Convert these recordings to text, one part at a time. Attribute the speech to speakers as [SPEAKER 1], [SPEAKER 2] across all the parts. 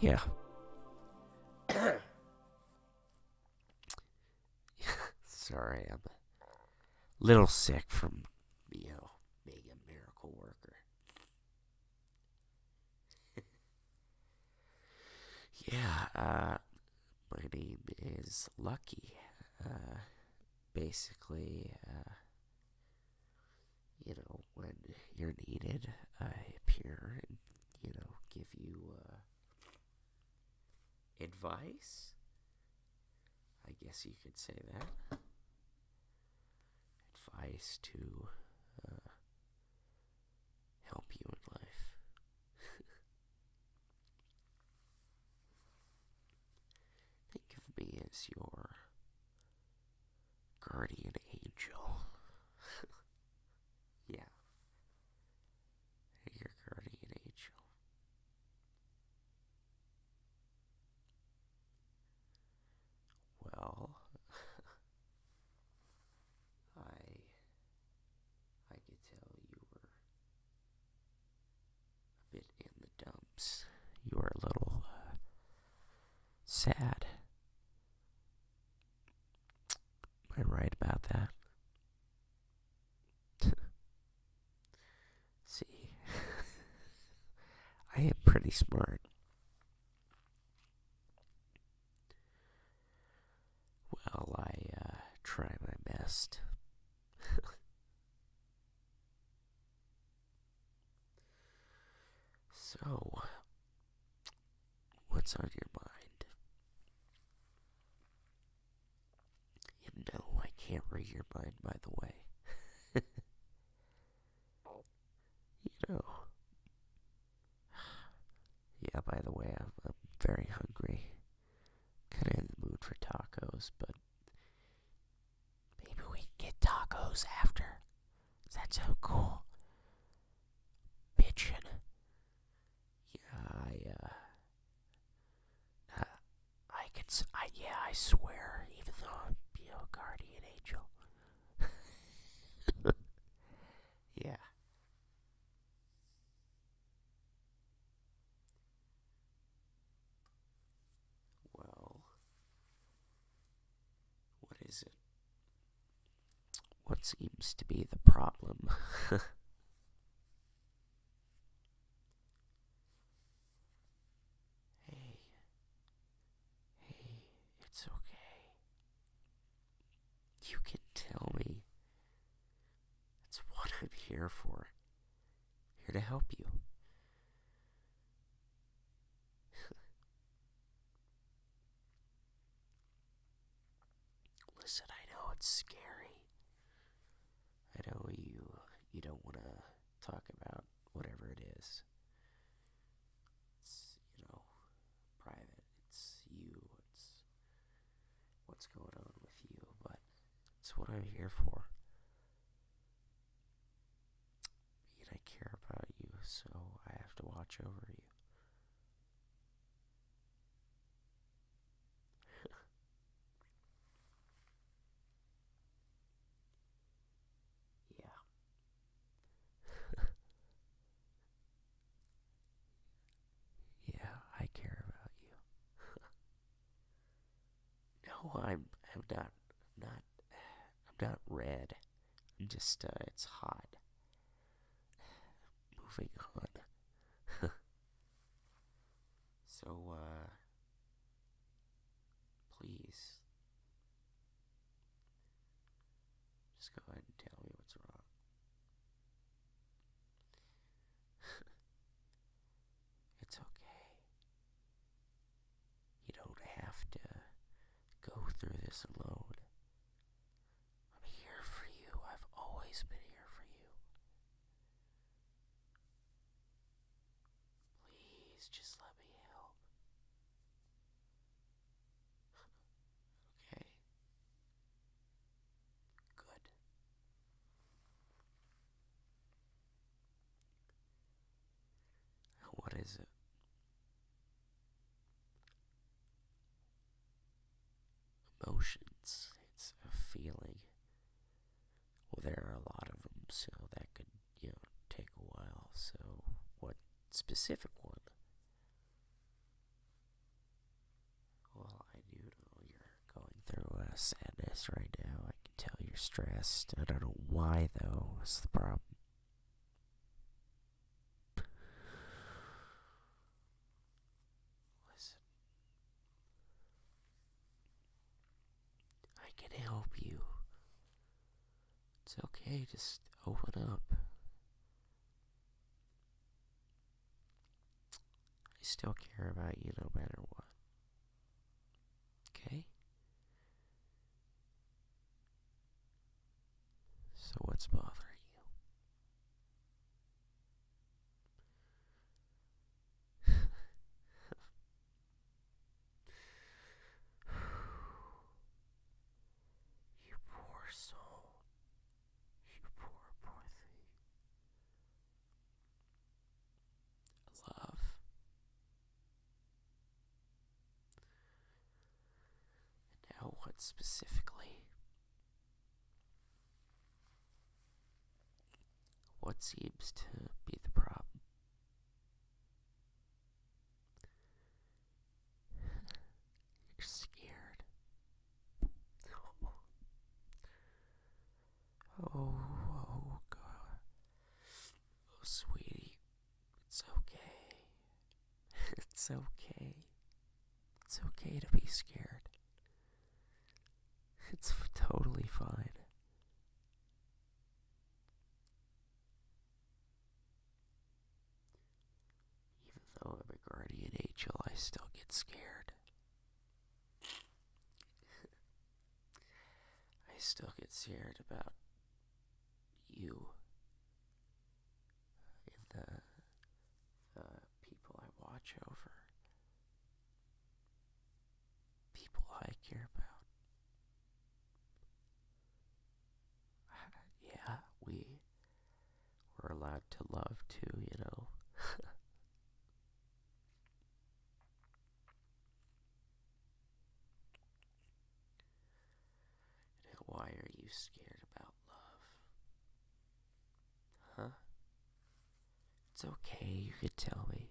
[SPEAKER 1] yeah. Sorry, I'm a little sick from you know being a miracle worker. yeah, uh, my name is Lucky. Uh, basically, uh, you know, when you're needed, I appear and, you know, give you uh, advice. I guess you could say that. Advice to uh, help you in life. Think of me as your guardian angel. yeah. Your guardian angel. Well, I I could tell you were bit in the dumps. You are a little uh, sad. Am I right about that? See, I am pretty smart. Well, I uh, try my best so, what's on your mind? You know, I can't read your mind, by the way. you know. Yeah, by the way, I'm, very hungry kind of in the mood for tacos, but maybe we can get tacos after. That's so cool. Bitchin'. Yeah, I, uh, uh I could, I, yeah, I swear, even though I'm, your guardian angel. yeah. Well, what is it? What seems to be the problem? hey, hey, it's okay. You can tell me. That's what I'm here for. Here to help you. Listen, I know it's scary. I know you you don't want to talk about whatever it is. It's, you know, private. It's you. It's what's going on with you, but it's what I'm here for. I care about you, so I have to watch over you. yeah. Yeah, I care about you. no, I'm I'm not not I'm not red. I'm just uh, it's hot. Moving on. so uh, please just go ahead and tell me what's wrong. it's okay. You don't have to go through this alone. I'm here for you. I've always been here for you. Please just let me help. okay. Good. What is it? Emotions. It's a feeling. Well, there are a lot of them, so that could, you know, take a while. So, what specific one? Well, I do know you're going through a sadness right now. I can tell you're stressed. I don't know why, though. What's the problem. Listen. I can help you. It's okay, just open up. I still care about you no matter what. Okay? So, what's bothering you? you poor soul. You poor, poor thing. Love. now, what specifically? What seems to be the problem? You're scared. Oh, oh, oh sweetie. It's okay. It's okay. It's okay to be scared. It's totally fine. Even though I'm a guardian angel, I still get scared. I still get scared about you and the, people I watch over, people I care about yeah, we were allowed to love too, you know. why are you scared about love? Huh? It's okay, you could tell me.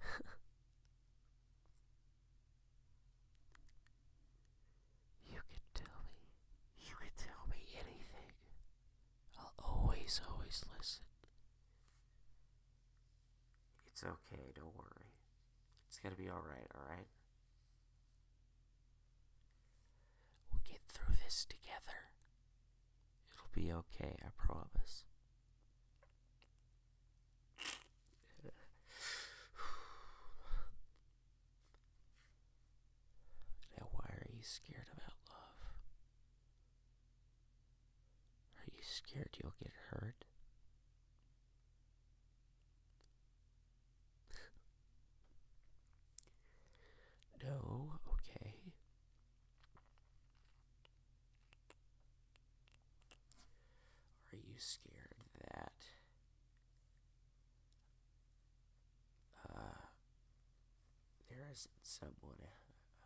[SPEAKER 1] You can tell me, you can tell me anything. I'll always, always listen. It's okay, don't worry. It's gonna be alright, alright? We'll get through this together. It'll be okay, I promise. Now, why are you scared about love? Are you scared you'll get hurt? no, okay. Are you scared that uh, there isn't someone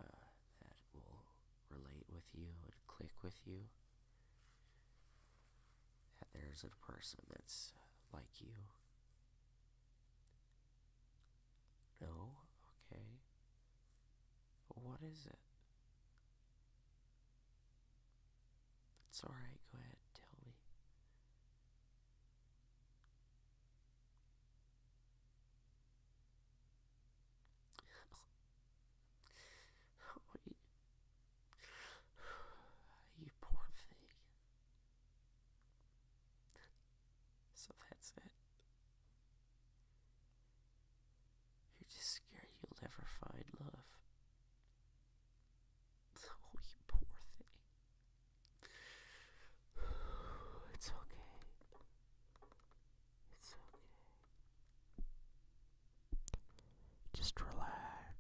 [SPEAKER 1] uh, that will relate with you and click with you? That there's a person that's like you? No? Okay. What is it? It's alright, go ahead, tell me. Wait. You poor thing. So that's it. You're just scared you'll never find love. Oh, you poor thing. It's okay. It's okay. Just relax.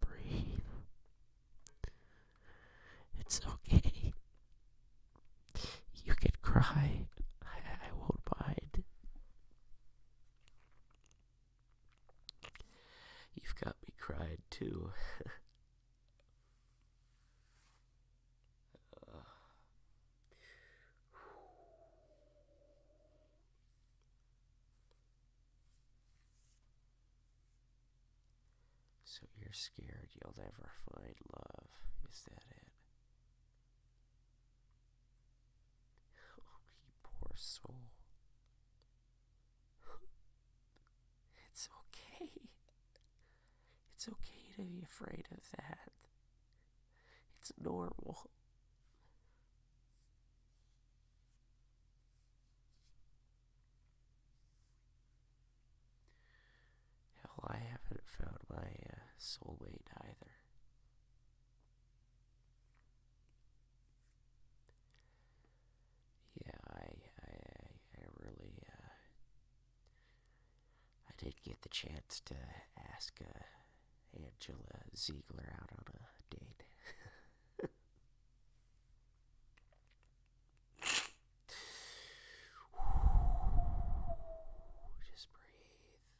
[SPEAKER 1] Breathe. It's okay. You can cry. I, won't You've got me cried too. So you're scared you'll never find love. Is that it? Oh, poor soul. It's okay. It's okay to be afraid of that. It's normal. Hell, I haven't found my uh, soulmate either. Yeah, I, I, I really, uh, I did get the chance to ask uh, Angela Ziegler out on a date. Just breathe.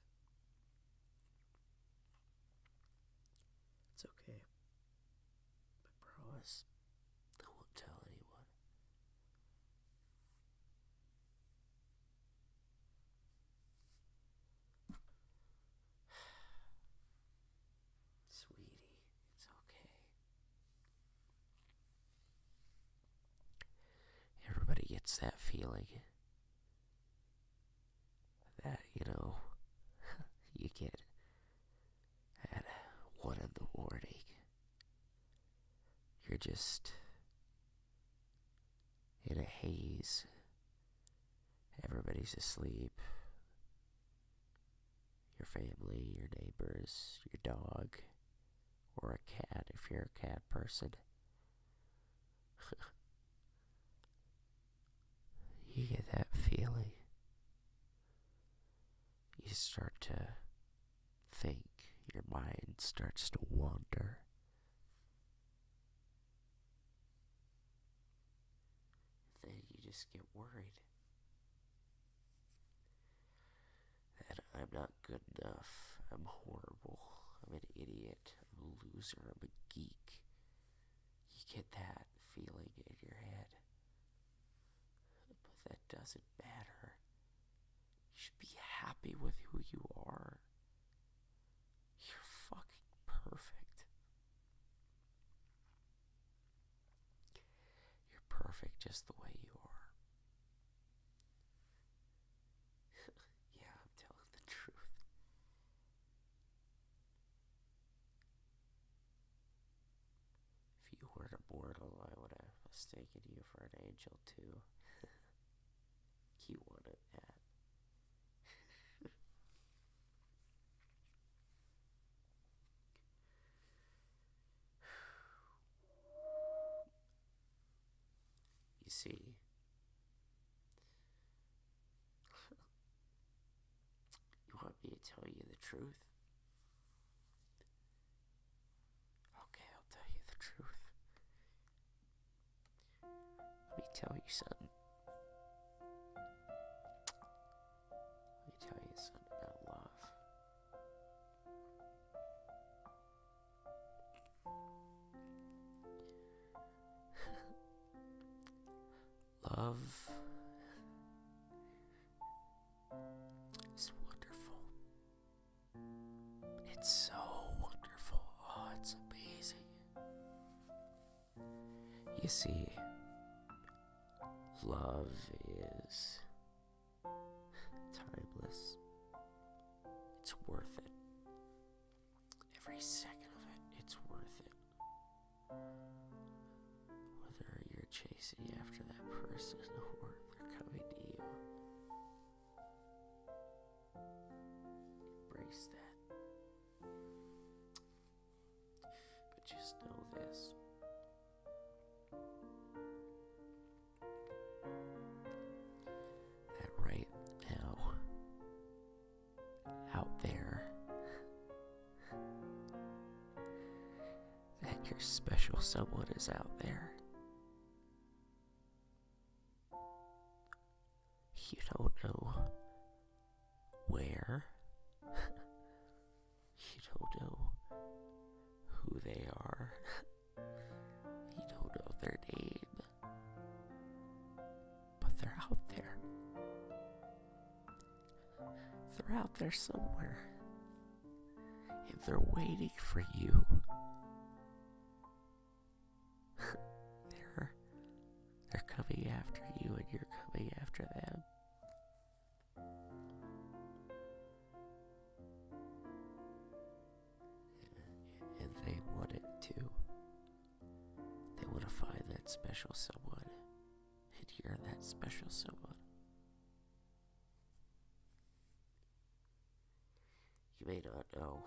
[SPEAKER 1] It's okay. But promise, I won't tell anyone. Sweetie, it's okay. Everybody gets that feeling that, you know, you get at one in the morning. You're just in a haze. Everybody's asleep. Your family, your neighbors, your dog, or a cat if you're a cat person. you get that feeling. You start to think, your mind starts to wander. Then you just get worried that I'm not good enough, I'm horrible, I'm an idiot, I'm a loser, I'm a geek. You get that feeling in your head. But that doesn't matter. You should be happy with who you are. You're fucking perfect. You're perfect just the way you are. yeah, I'm telling the truth. If you weren't a mortal, I would have mistaken you for an angel, too. he wanted that. You see, you want me to tell you the truth? Okay, I'll tell you the truth. Let me tell you something. Let me tell you something about love. Love is wonderful. It's so wonderful. Oh, it's amazing. You see, love is timeless. It's worth it. Every second of it, it's worth it. Whether you're chasing after that person or they're coming to you, embrace that. But just know this that right now out there that your special someone is out there. You don't know where you don't know who they are. you don't know their name. But they're out there. They're out there somewhere. And they're waiting for you. they're they're coming after you and you're coming after them. And they wouldn't too. They want to find that special someone, and you're that special someone. You may not know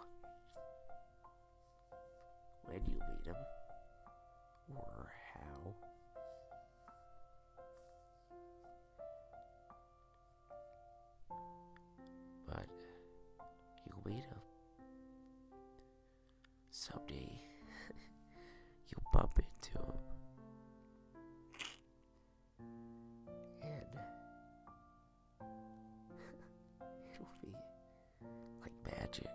[SPEAKER 1] when you meet him or how. But you will wait up. Someday you bump into him. And it'll be like magic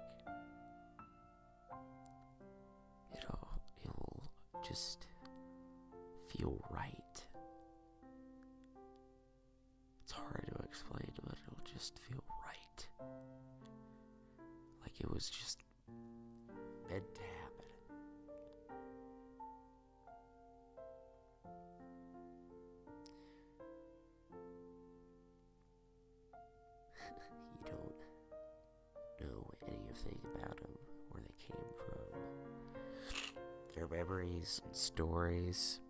[SPEAKER 1] it'll it'll just feel right. It's hard to explain, but it'll just feel right. Like it was just meant to happen. you don't know anything about them, where they came from, their memories and stories.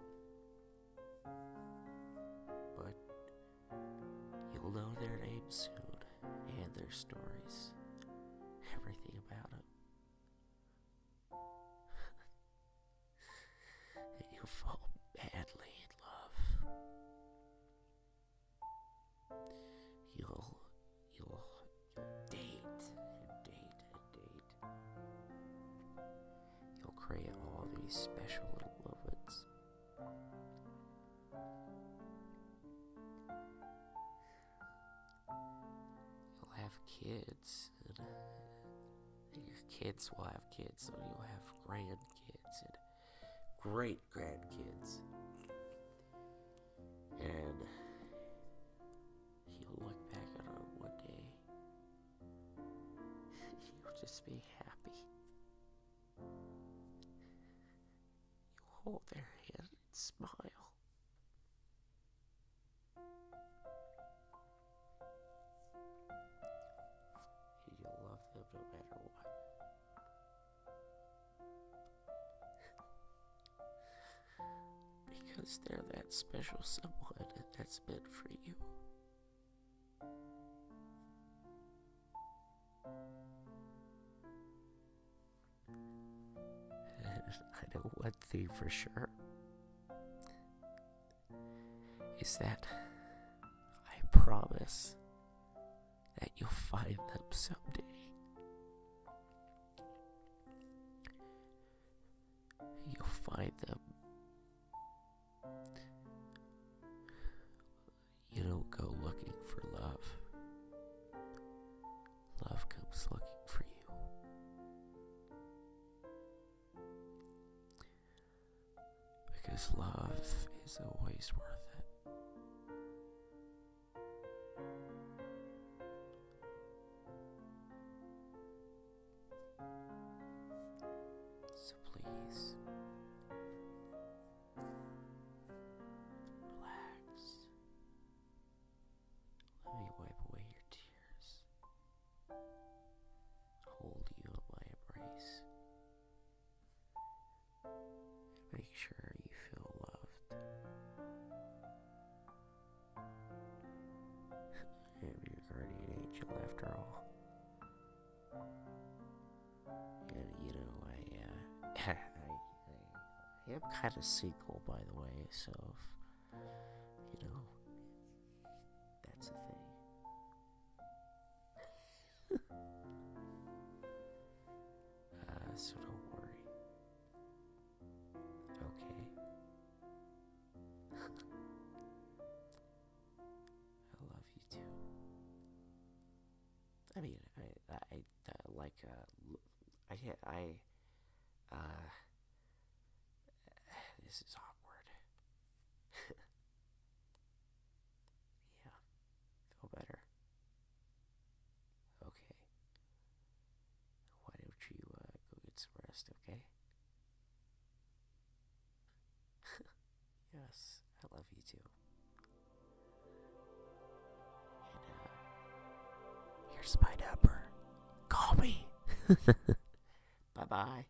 [SPEAKER 1] But you'll know their names soon and their stories, everything about them. and you'll fall madly in love. You'll, you'll, you'll date date date. You'll create all these special little moments. You'll have kids, and your kids will have kids, so you'll have grandkids and great grandkids. And he'll look back on one day. he'll just be happy. You'll hold their hand and smile. you'll love them no matter what because they're that special someone that's meant for you. And I know one thing for sure is that I promise that you'll find them someday. You'll find them. You don't go looking for love. Love comes looking for you because love is always worth it. So please relax. Let me wipe away your tears. Hold you in my embrace. Make sure you feel loved. I am your guardian angel after all. And you know, uh, I, I, I, am kind of single, by the way, so, you know, that's the thing. Ah, so don't worry. Okay. I love you too. I mean, I, I, like, I, I, uh, uh, this is awkward. Yeah. Feel better. Okay. Why don't you uh, go get some rest, okay? yes, I love you too. Uh, here's my number. Call me. bye bye.